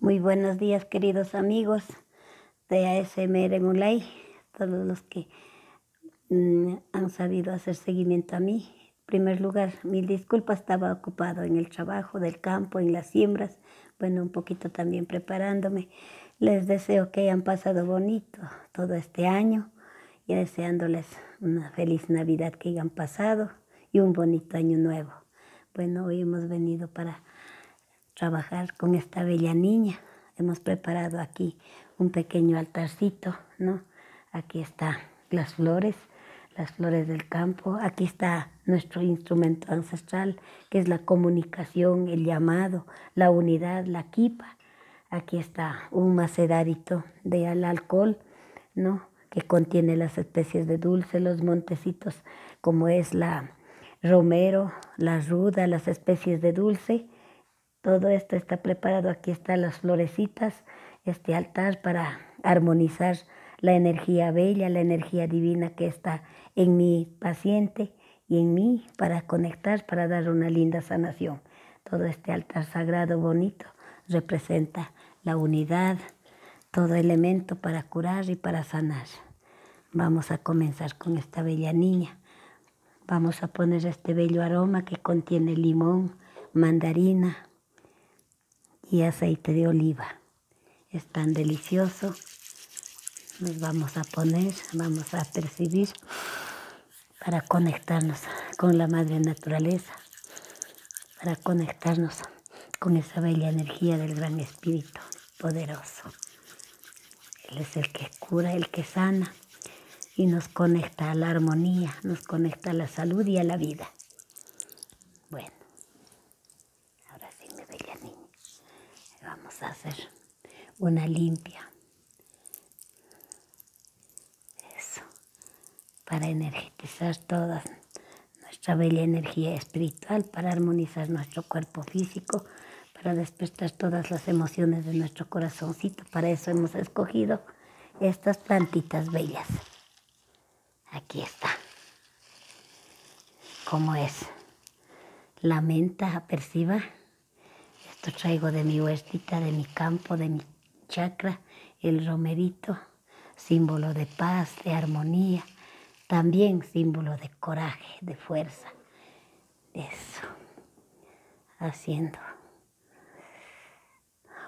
Muy buenos días, queridos amigos de ASMR Mulay, todos los que mm, han sabido hacer seguimiento a mí. En primer lugar, mil disculpas, estaba ocupado en el trabajo del campo, en las siembras, bueno, un poquito también preparándome. Les deseo que hayan pasado bonito todo este año y deseándoles una feliz Navidad que hayan pasado y un bonito año nuevo. Bueno, hoy hemos venido para trabajar con esta bella niña. Hemos preparado aquí un pequeño altarcito, Aquí están las flores, las flores del campo. Aquí está nuestro instrumento ancestral, que es la comunicación, el llamado, la unidad, la quipa. Aquí está un maceradito de alcohol que contiene las especies de dulce, los montecitos, como es la romero, la ruda, las especies de dulce. Todo esto está preparado. Aquí están las florecitas, este altar para armonizar la energía bella, la energía divina que está en mi paciente y en mí para conectar, para dar una linda sanación. Todo este altar sagrado bonito representa la unidad, todo elemento para curar y para sanar. Vamos a comenzar con esta bella niña. Vamos a poner este bello aroma que contiene limón, mandarina y aceite de oliva. Es tan delicioso. Nos vamos a poner, vamos a percibir para conectarnos con la madre naturaleza para conectarnos con esa bella energía del gran espíritu poderoso. Él es el que cura, el que sana y nos conecta a la armonía, nos conecta a la salud y a la vida. Bueno, ahora sí, mi bella niña, vamos a hacer una limpia. Eso, para energizar todas nuestra bella energía espiritual para armonizar nuestro cuerpo físico, para despertar todas las emociones de nuestro corazoncito. Para eso hemos escogido estas plantitas bellas. Aquí está. ¿Cómo es? La menta aperciba. Esto traigo de mi huertita, de mi campo, de mi chakra el romerito símbolo de paz, de armonía, también símbolo de coraje, de fuerza. Eso, haciendo,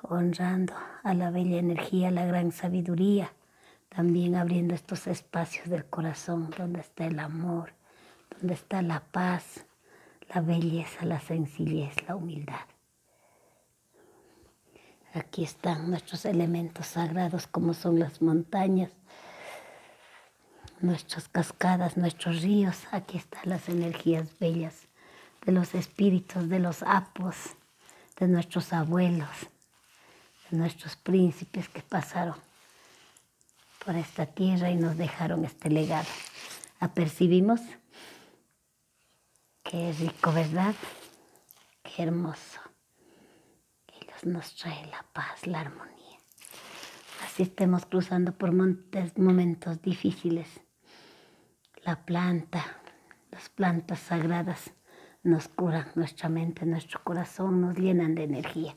honrando a la bella energía, la gran sabiduría, también abriendo estos espacios del corazón donde está el amor, donde está la paz, la belleza, la sencillez, la humildad. Aquí están nuestros elementos sagrados como son las montañas, nuestras cascadas, nuestros ríos. Aquí están las energías bellas de los espíritus, de los apos, de nuestros abuelos, de nuestros príncipes que pasaron por esta tierra y nos dejaron este legado. Apercibimos. que es rico, ¿verdad? Qué hermoso. Ellos nos trae la paz, la armonía. Así estemos cruzando por momentos difíciles. La planta, las plantas sagradas nos curan nuestra mente, nuestro corazón, nos llenan de energía.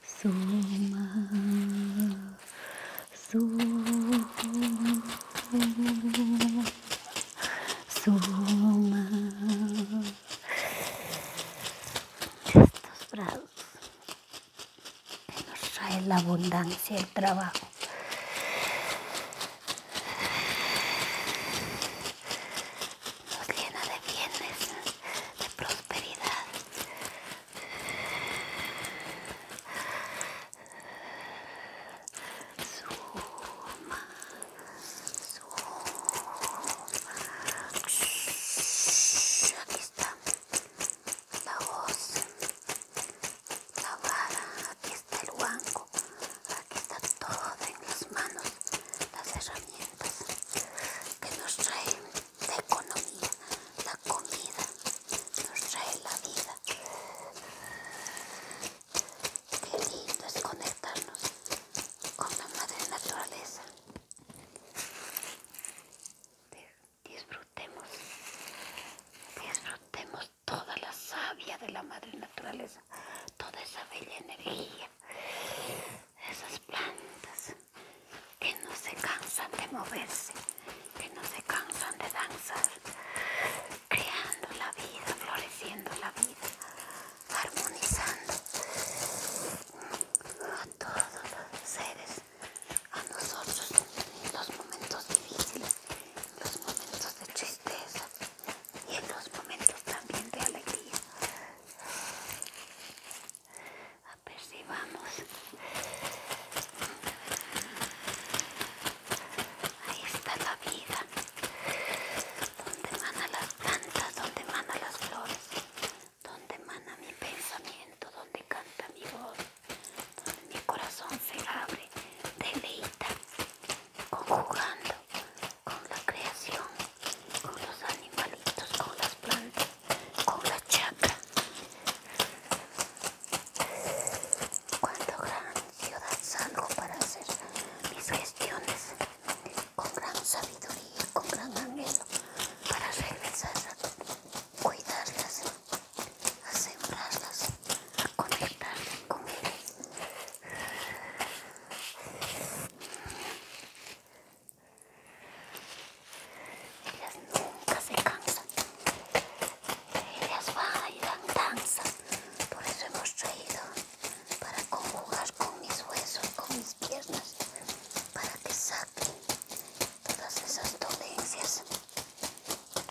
Suma, suma, suma. Estos brazos nos trae la abundancia, el trabajo. Nos llena de bienes, de prosperidad. Suma, suma. aquí está la voz, la vara, aquí está el guanco, aquí está todo en las manos, las herramientas que nos trae la economía, la comida, nos trae la vida. Qué lindo es conectarnos con la madre naturaleza. Disfrutemos, disfrutemos toda la savia de la madre naturaleza, toda esa bella energía, esas plantas, que no se cansan de moverse, que no se cansan de danzar, creando la vida, floreciendo la vida, armonizando a todos los seres, a nosotros los momentos difíciles, los momentos de tristeza y en los momentos también de alegría apercibamos ahí está la vida donde emanan las plantas donde emana las flores donde emana mi pensamiento donde canta mi voz donde mi corazón se abre deleita conjugando con la creación con los animalitos con las plantas con la chacra. Cuando gran ciudad salgo para hacer mis gestiones, con gran sabiduría, con gran anhelo, para regresar a cuidarlas, a sembrarlas, a conectarlas con ellas nunca se cansan. Ellas van y danza. Por eso hemos traído para conjugar con mis huesos, con mis piernas, para que saquen todas esas dolencias,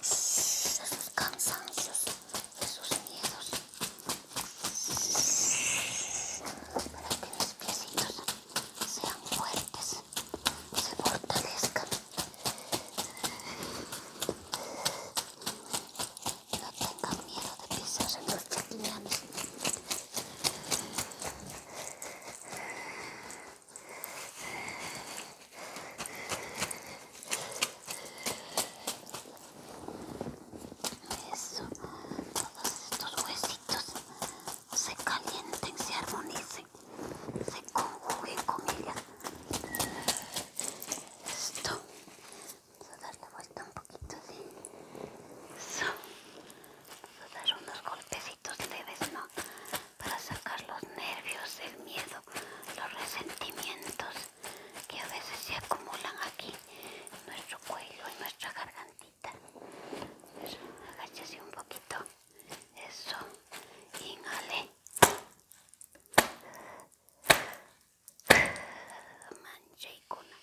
esos cansancios, esos miedos, para que mis piecitos sean fuertes, se fortalezcan. No tengan miedo de pisar en los Eso, todos estos huesitos se calienten, se armonicen, se conjuguen con ella. Esto, vamos a darle vuelta un poquito así. Vamos a dar unos golpecitos leves, ¿no? Para sacar los nervios, el miedo, los resentimientos que a veces se acumulan aquí en nuestro cuello, en nuestra garganta agáchese un poquito. Eso, inhale. Mancha y cuna.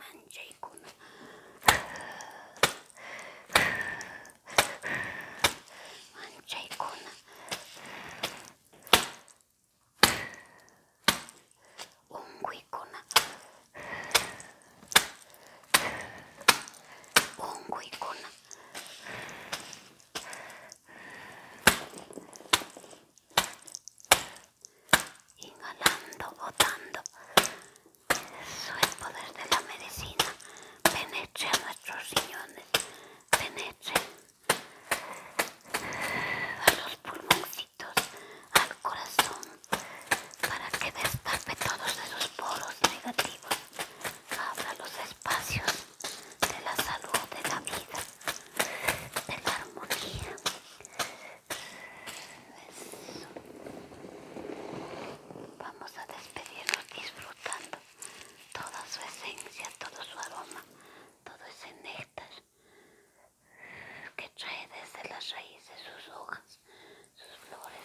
Mancha y cuna. Mancha y cuna un cuicuna, un inhalando botando eso el poder de la medicina penetre a nuestros riñones penetre a los pulmoncitos, al corazón, para que destape todos esos poros negativos, abra los espacios de la salud, de la vida, de la armonía. Vamos a despedirnos disfrutando toda su esencia, todo su aroma, todo ese néctar que trae desde las raíces sus hojas, sus flores.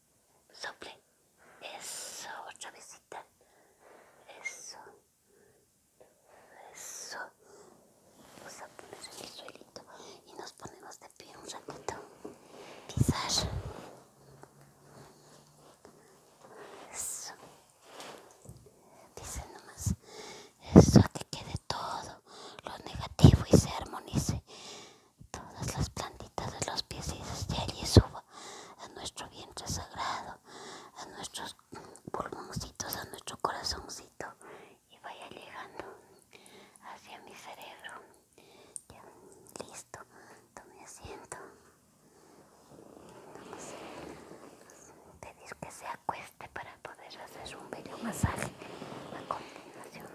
sople, eso, otra vezita, eso, eso, vamos a poner el suelito y nos ponemos de pie un ratito, pisar, eso, Dice nomás, eso, que quede todo lo negativo y se armonice todas las plantitas de los pies y desde allí suba a nuestro vientre sagrado, a nuestros pulmoncitos, a nuestro corazoncito y vaya llegando hacia mi cerebro. Ya, listo, tome asiento. te a pedir que se acueste para poder hacer un bello masaje a continuación.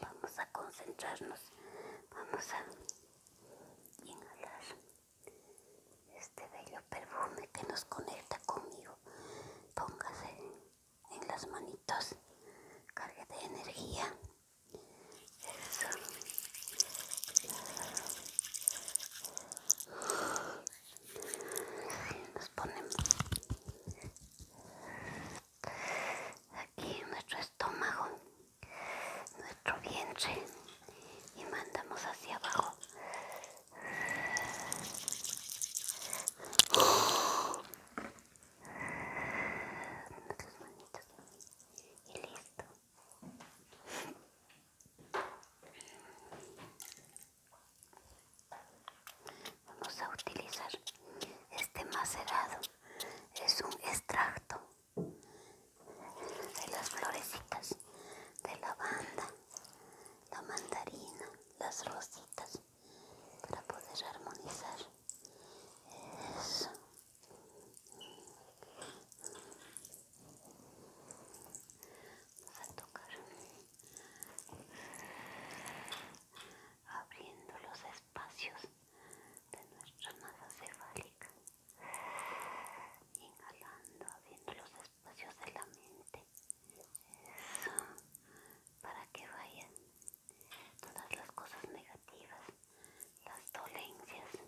Vamos a concentrarnos. Vamos a inhalar este bello perfume que nos conecta conmigo. Póngase en las manitos. Cargue de energía. Eso. Nos ponemos aquí nuestro estómago, nuestro vientre y mandamos hacia abajo. y listo. Vamos a utilizar este macerado. Es un extracto de las florecitas de lavanda, la mandarina, las rositas para poder armonizar. Eso. Vamos a tocar abriendo los espacios de nuestra masa cefálica inhalando abriendo los espacios de la mente para que vayan todas las cosas negativas las dolencias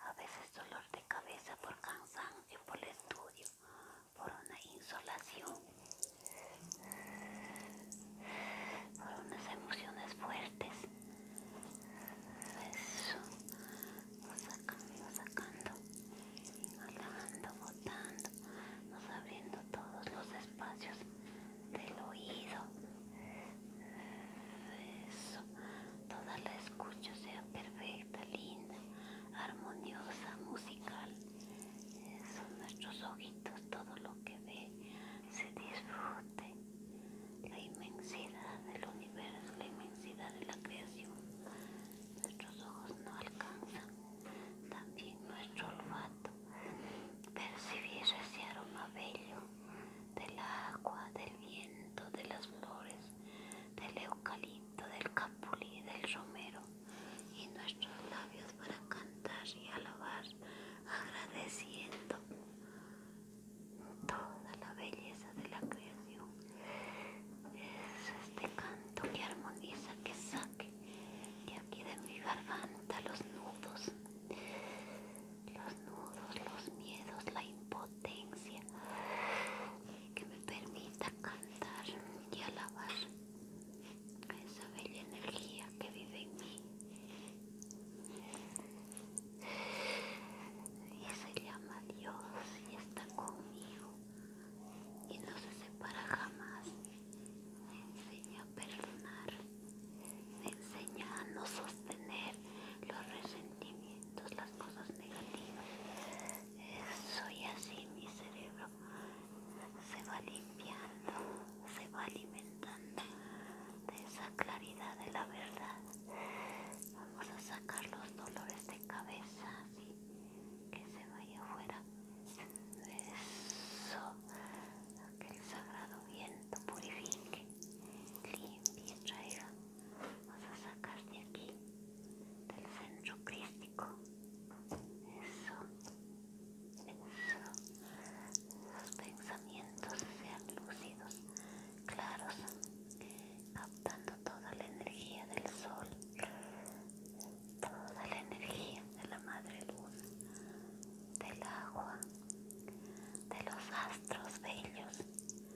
a veces dolor de cabeza por cansancio, por el estudio, por una insolación, por unas emociones fuertes. Eso, nos sacando, sacando, inhalando, botando, nos abriendo todos los espacios del oído. Eso toda la escucha sea perfecta, linda, armoniosa, musical. Son nuestros ojitos, todo lo que ve se disfrute. La inmensidad del universo, la inmensidad de la creación. Nuestros ojos no alcanzan. También nuestro olfato. Percibir ese aroma bello del agua, del viento, de las flores del eucalipto, del capulí, del romero y nuestros labios para cantar y alabar, agradeciendo toda la belleza de la creación. Es este canto que armoniza, que saque de aquí de mi garganta los nudos, los nudos, los miedos, la impotencia potencia que me permita cantar y alabar a esa bella energía que vive en mí y se llama Dios y está conmigo y no se separa jamás me enseña a perdonar me enseña a no sostener los resentimientos, las cosas negativas. Soy así, mi cerebro se va limpiando, se va alimentando de esa claridad de la verdad. Vamos a sacar los dolores de cabeza, así que se vaya afuera. Eso, que el sagrado viento purifique, limpie, traiga Vas a sacar de aquí, del centro crístico. Eso. Eso. Los pensamientos sean lúcidos, claros, captando toda la energía del sol, toda la energía de la madre luz, del agua, de los astros bellos. Eso,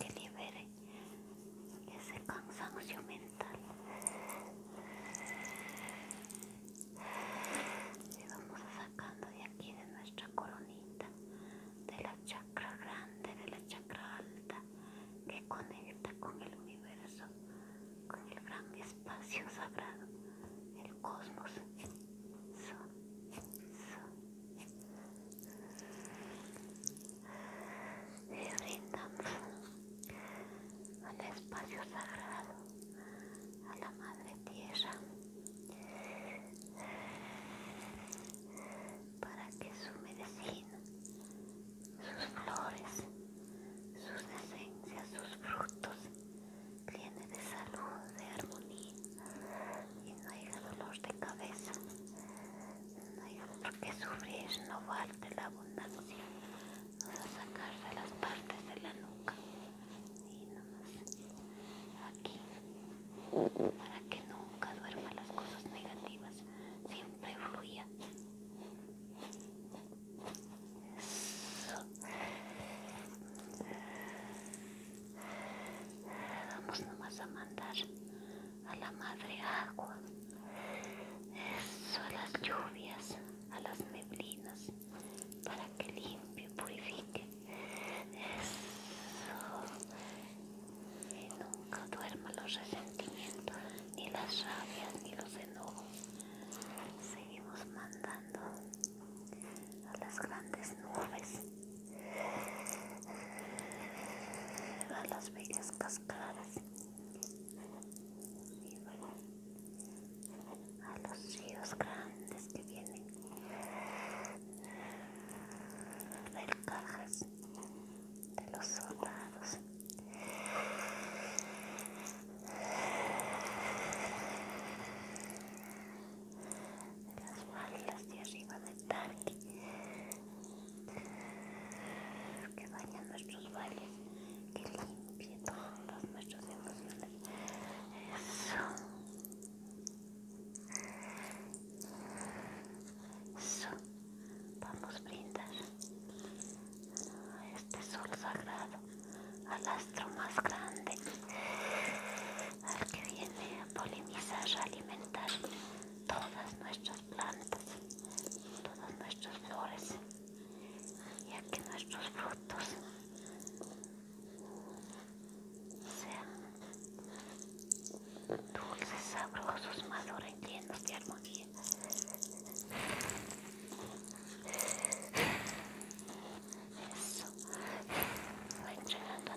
que libere ese cansancio mental. Y vamos sacando de aquí de nuestra coronita, de la chakra grande, de la chakra alta, que conecta con el universo, con el gran espacio sagrado, el cosmos brindan al espacio sagrado, a la madre tierra, para que su medicina, sus flores, sus esencias, sus frutos, llenen de salud, de armonía y no haya dolor de cabeza, no por qué sufrir, no va la abundancia, no va a sacarse las partes de la nuca y más aquí, para que nunca duerman las cosas negativas, siempre fluya vamos nomás a mandar a la madre agua eso a las lluvias a las neblinas para que limpie purifique eso nunca duerma los resentimientos ni las rabias ni los enojos seguimos mandando a las grandes nubes, a las bellas cascadas, a los ríos grandes que vienen del cajas de los soldados las balas de arriba del parque que baña nuestros vales que limpie todas nuestras emociones eso eso vamos a brindar a este sol sagrado al astro más grande al que viene a polinizar, a alimentar todas nuestras plantas, todas nuestras flores y a que nuestros frutos sean dulces, sabrosos, maduros y llenos de armonía. Eso, va entregando a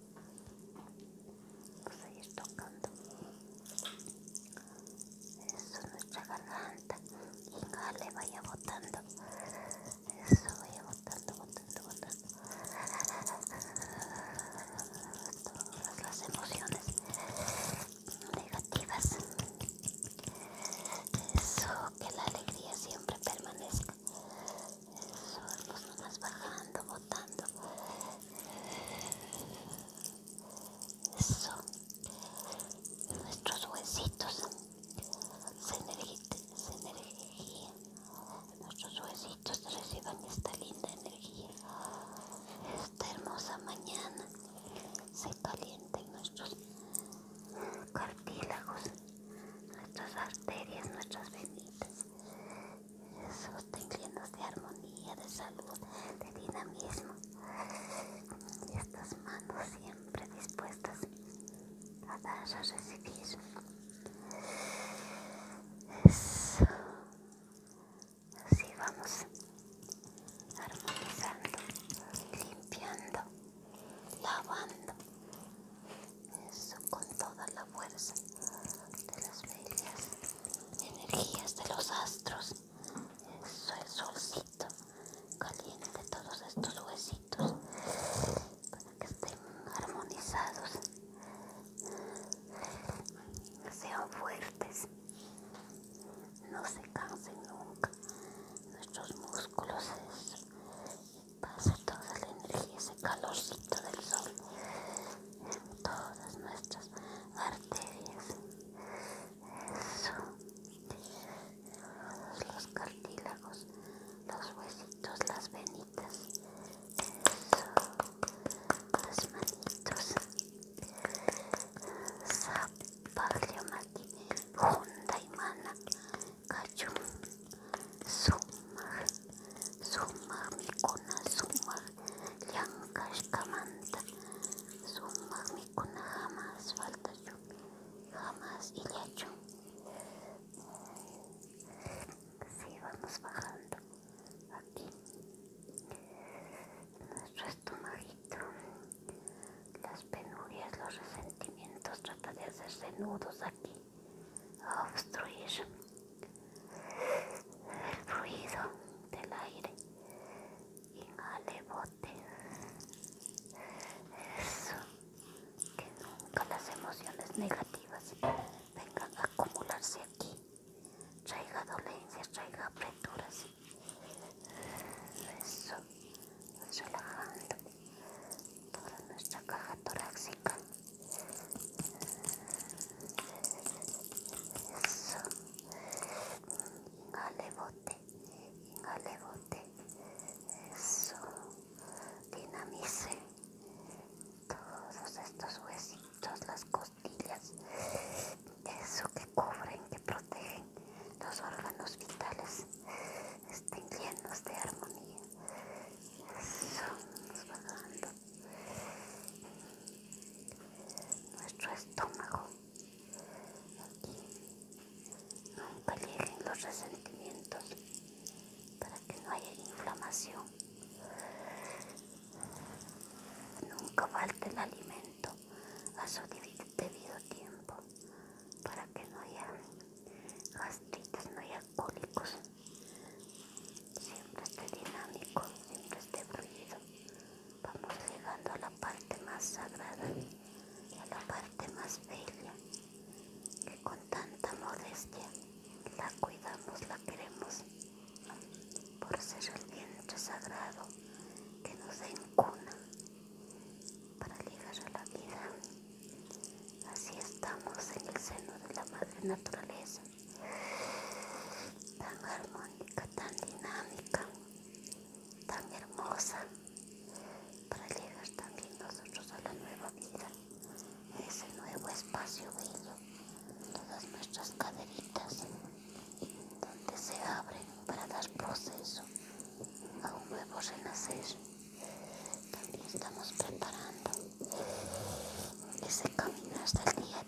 Vamos a ir tocando. Eso, nuestra garganta. Ingale, vaya botando. Eso, vaya botando, botando, botando. Todas las emociones negativas. Eso, que la alegría siempre permanezca. Eso, vamos nomás bajando, botando. Eso. Nuestros huesitos se, Nuestros huesitos reciban esta linda energía. Esta hermosa mañana se calienten nuestros cartílagos, nuestras arterias, nuestras venitas sosteniendo de armonía, de salud, de dinamismo. estas manos siempre dispuestas a dar, a recibir. Eso. Así vamos armonizando, limpiando, lavando. Eso con toda la fuerza de las medias energías de los astros. Eso, el solcito caliente todos estos huesitos para que estén armonizados, sean fuertes, no se cansen nunca. Nuestros músculos pase toda la energía, ese calorcito del sol en todas nuestras arterias, eso, los cartílagos, los huesitos, las venitas, eso, las manitos, zapalio maqui, junta y mana, cachum, suma, Sumar mi sumar kamanta. Sumar mi jamás falta Jamás y lecho vamos bajando. Aquí. Nuestro estomaguito. Las penurias, los resentimientos. Trata de hacerse nudos aquí. A obstruir el ruido del aire. Inhale, bote. Eso. Que nunca las emociones negativas vengan a acumularse aquí. Traiga dolencias, traiga apreturas. Eso. Relajando toda nuestra caja torácica. Eso. ingale bote. bote. Eso. Dinamice todos estos huesitos, las costillas. Eso que cubren, que protegen los órganos vitales. Estén llenos de armonía. Eso. Nos va dando nuestro estómago. Aquí nunca lleguen los resentimientos para que no haya inflamación. Nunca falte el alimento a su debido tiempo para que no haya gastritis, no haya cólicos siempre este dinámico, siempre este ruido Vamos llegando a la parte más sagrada y a la parte más bella, que con tanta modestia la cuidamos, la queremos, por ser el vientre sagrado que nos encuna para ligar a la vida. Así estamos en el seno de la Madre Naturaleza tan armónica, tan dinámica, tan hermosa, para llegar también nosotros a la nueva vida, a ese nuevo espacio bello, todas nuestras caderitas, donde se abren para dar proceso a un nuevo renacer. También estamos preparando ese hasta el día a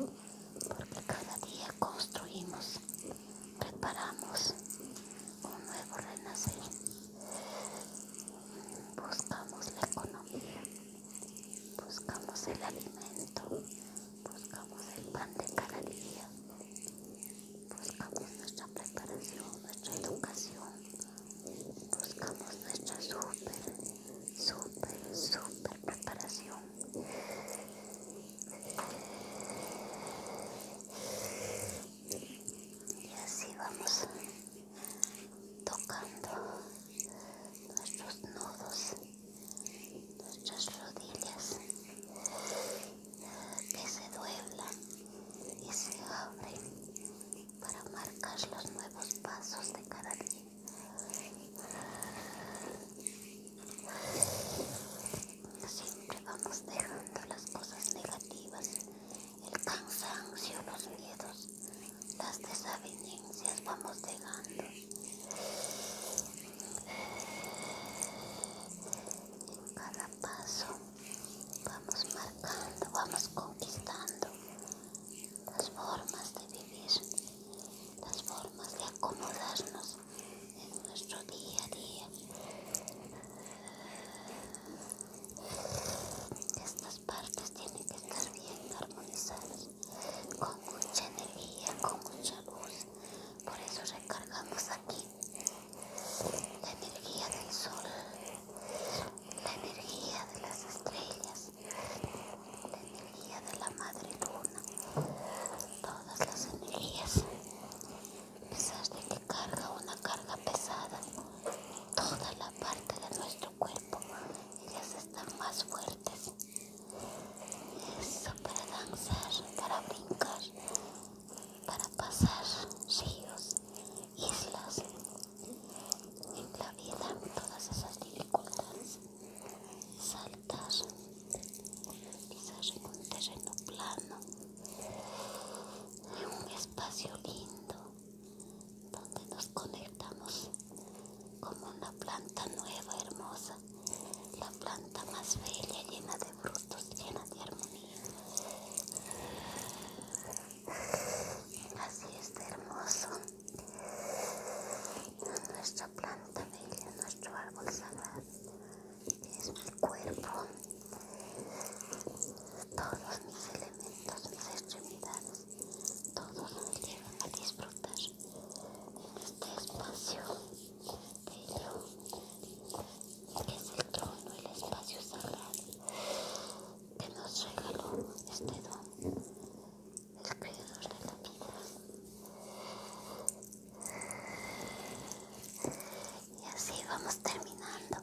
día porque cada día construimos, preparamos un nuevo renacer, buscamos la economía, buscamos el alimento, buscamos el pan de cada día, buscamos nuestra preparación, nuestra educación, buscamos nuestra super super, super preparación. Y así vamos tocando nuestros nudos, nuestras rodillas que se duelan y se abren para marcar los nuevos pasos de cada día. Siempre vamos dejando las cosas negativas, el cansancio, los miedos, las desavenencias vamos dejando. En cada paso vamos marcando, vamos conquistando las formas de vivir las formas de acomodarnos en nuestro día a día. Estas partes tienen que estar bien armonizadas, con mucha energía, con mucha luz. Por eso recargamos aquí la energía del sol, la energía de las estrellas la energía de la madre luna, todas las energías, a pesar de que carga una carga pesada, toda la parte de nuestro cuerpo, ellas están más fuertes. Eso para danzar, para brincar, para pasar ríos, islas, en la vida, todas esas dificultades saltar quizás en un terreno plano en un espacio lindo donde nos conectamos como una planta nueva hermosa la planta más bella llena de frutos llena de armonía así está hermoso nuestra planta bella, nuestro árbol sagrado, es mi cuerpo, todos mis elementos, mis extremidades, todos nos llevan a disfrutar en este espacio que es el trono, el espacio sagrado, que nos regaló este don el cuidador de la vida. Y así vamos terminando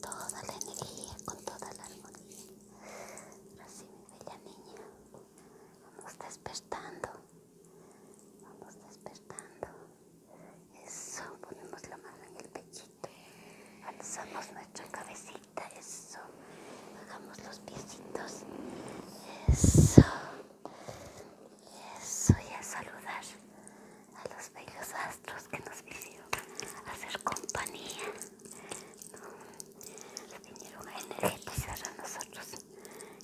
toda la energía con toda la armonía. Así mi bella niña, vamos despertando, vamos despertando. Eso, ponemos la mano en el pechito, alzamos nuestra cabecita eso. Bajamos los piecitos. Eso. Eso. Y a saludar a los bellos astros que nos hicieron hacer compañía. Nos vinieron a energizar a nosotros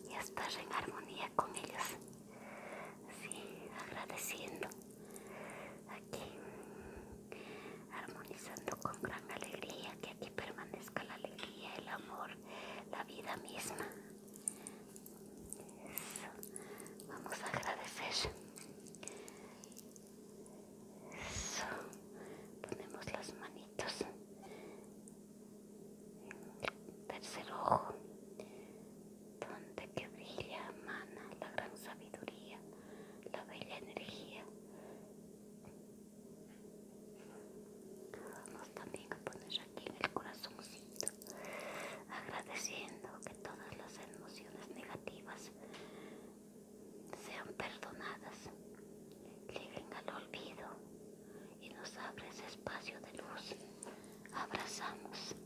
y a estar en armonía con ellos. Sí, agradeciendo aquí armonizando con gran alegría que aquí permanezca la alegría el amor la vida misma vamos a agradecer ponemos las manitos tercer ojo donde que brilla, mana la gran sabiduría la bella energía. Vamos también a poner aquí en el corazoncito, agradeciendo que todas las emociones negativas sean perdonadas, lleguen al olvido y nos abre ese espacio de luz. Abrazamos,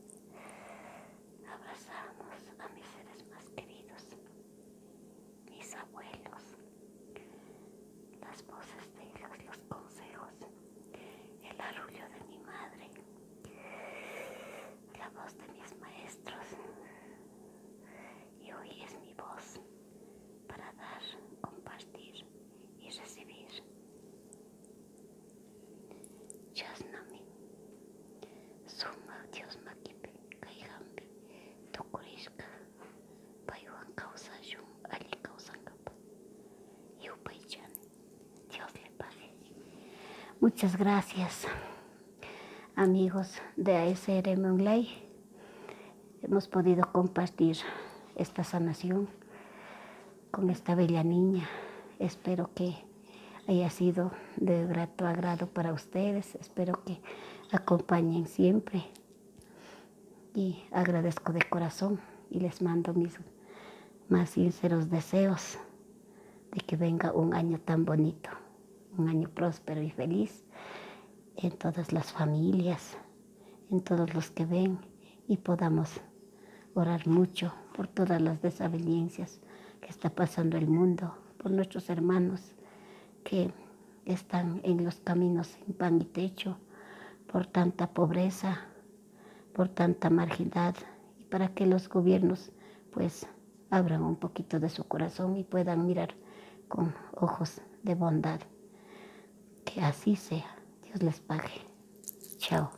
abrazamos a mis seres más queridos mis abuelos, las voces de ellos, los consejos, el arrullo de mi madre, la voz de mis maestros. Y hoy es mi voz para dar, compartir y recibir. Jasnami, Suma Dios muchas gracias amigos de ASRM Online hemos podido compartir esta sanación con esta bella niña espero que haya sido de grato agrado para ustedes Espero que acompañen siempre. Y agradezco de corazón y les mando mis más sinceros deseos de que venga un año tan bonito, un año próspero y feliz en todas las familias, en todos los que ven y podamos orar mucho por todas las desavenencias que está pasando el mundo por nuestros hermanos que están en los caminos sin pan y techo, por tanta pobreza, por tanta marginalidad, y para que los gobiernos pues abran un poquito de su corazón y puedan mirar con ojos de bondad. Que así sea. Dios les pague. Chao.